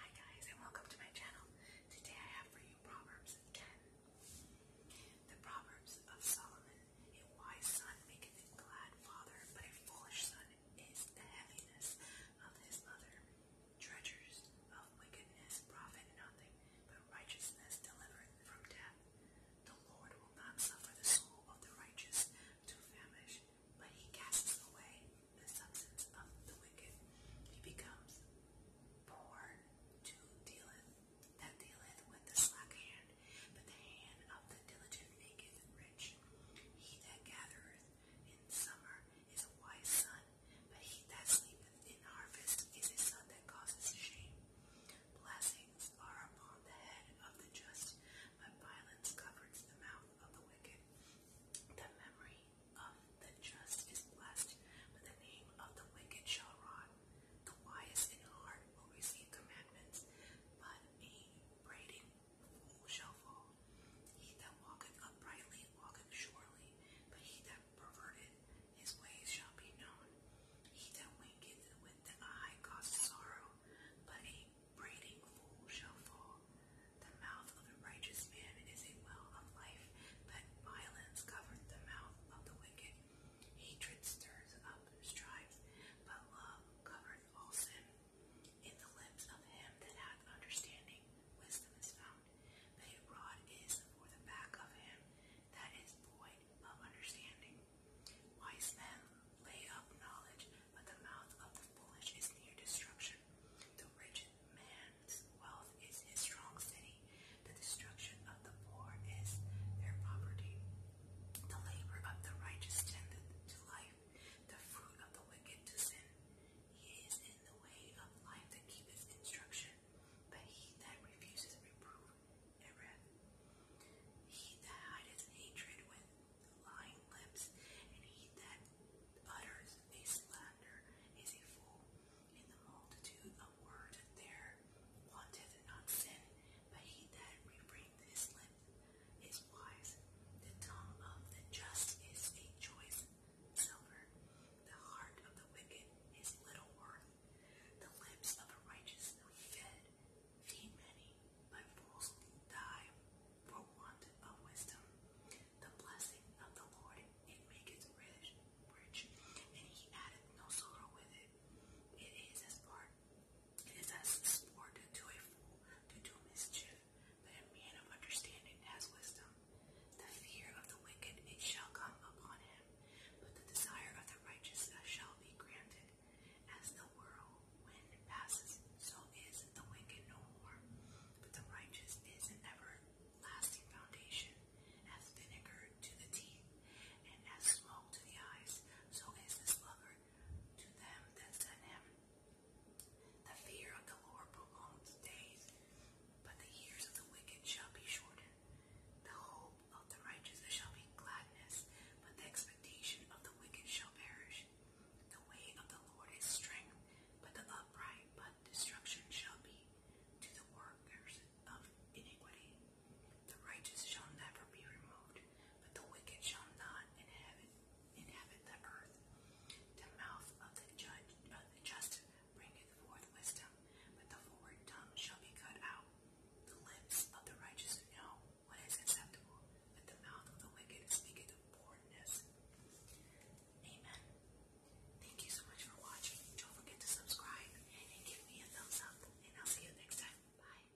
Hi guys and welcome to my channel. Today I have for you Proverbs 10. The Proverbs of Solomon. A wise son maketh a glad father, but a foolish son is the heaviness of his mother. Treasures of wickedness profit nothing, but righteousness delivereth from death. The Lord will not suffer the soul of the righteous to famish, but he casts away the substance of the wicked. He becomes poor to dealeth that dealeth with the slack hand, but the hand of the diligent maketh rich. He that gathereth in summer is a wise son, but he that sleepeth in harvest is a son that causes shame. Blessed are upon the head of the just, but violence covers the mouth of the wicked. The memory of the just is blessed, but the name of the wicked shall rot. The wise in heart will receive commandments, but a braiding fool shall fall. He that walketh uprightly walketh surely, but he that perverted his ways shall be known. He that winketh with the eye causes sorrow, but a braiding fool shall fall. The mouth of a righteous man is a well of life, but violence covered the mouth of the wicked. Hatred stirs up strife, but love covereth all sin. In the lips of him that hath understanding, wisdom is found. But a rod is for the back of him that is void of understanding. Wise men lay up knowledge, but the mouth of the foolish is near destruction. The rich man's wealth is his strong city. The destruction of the poor is their poverty. The labor of the righteous tendeth to life, the fruit of the wicked to sin. He is in the way of life that keepeth instruction, but he that refuses reproof he that hideth hatred with lying lips, and he that utters a slander is a fool. In the multitude of words there wanteth not sin, but he that refraineth his lips is wise. The tongue of the just is a choice silver. The heart of the wicked is little worth. The lips of the righteous fed, feed many, but fools die for want of wisdom. The blessing of the Lord it maketh rich, rich, and he addeth no sorrow with it. It is as part, it is as sport to a fool to do mischief but a man of understanding has wisdom. The fear of the wicked it shall come upon him, but the desire of the righteous uh, shall be granted. As the whirlwind passes, so is the wicked no more, but the righteous is an ever-lasting foundation. As vinegar to the teeth, and as smoke to the eyes, so is this lover to them that sent him. The fear of the Lord prolongs days, but the years of the wicked shall be shortened. The hope of the righteous shall be gladness, but the expectation of the wicked shall perish. The way of the Lord is strength, but the upright, but destruction shall be to the workers of iniquity. The righteous shall never be removed, but the wicked shall not inhabit the earth. The mouth of the just bringeth forth wisdom, but the forward tongue shall be cut out. The lips of the righteous know what is acceptable, but the mouth of the wicked speaketh of Amen. Thank you so much for watching. Don't forget to subscribe and give me a thumbs up. And I'll see you next time. Bye.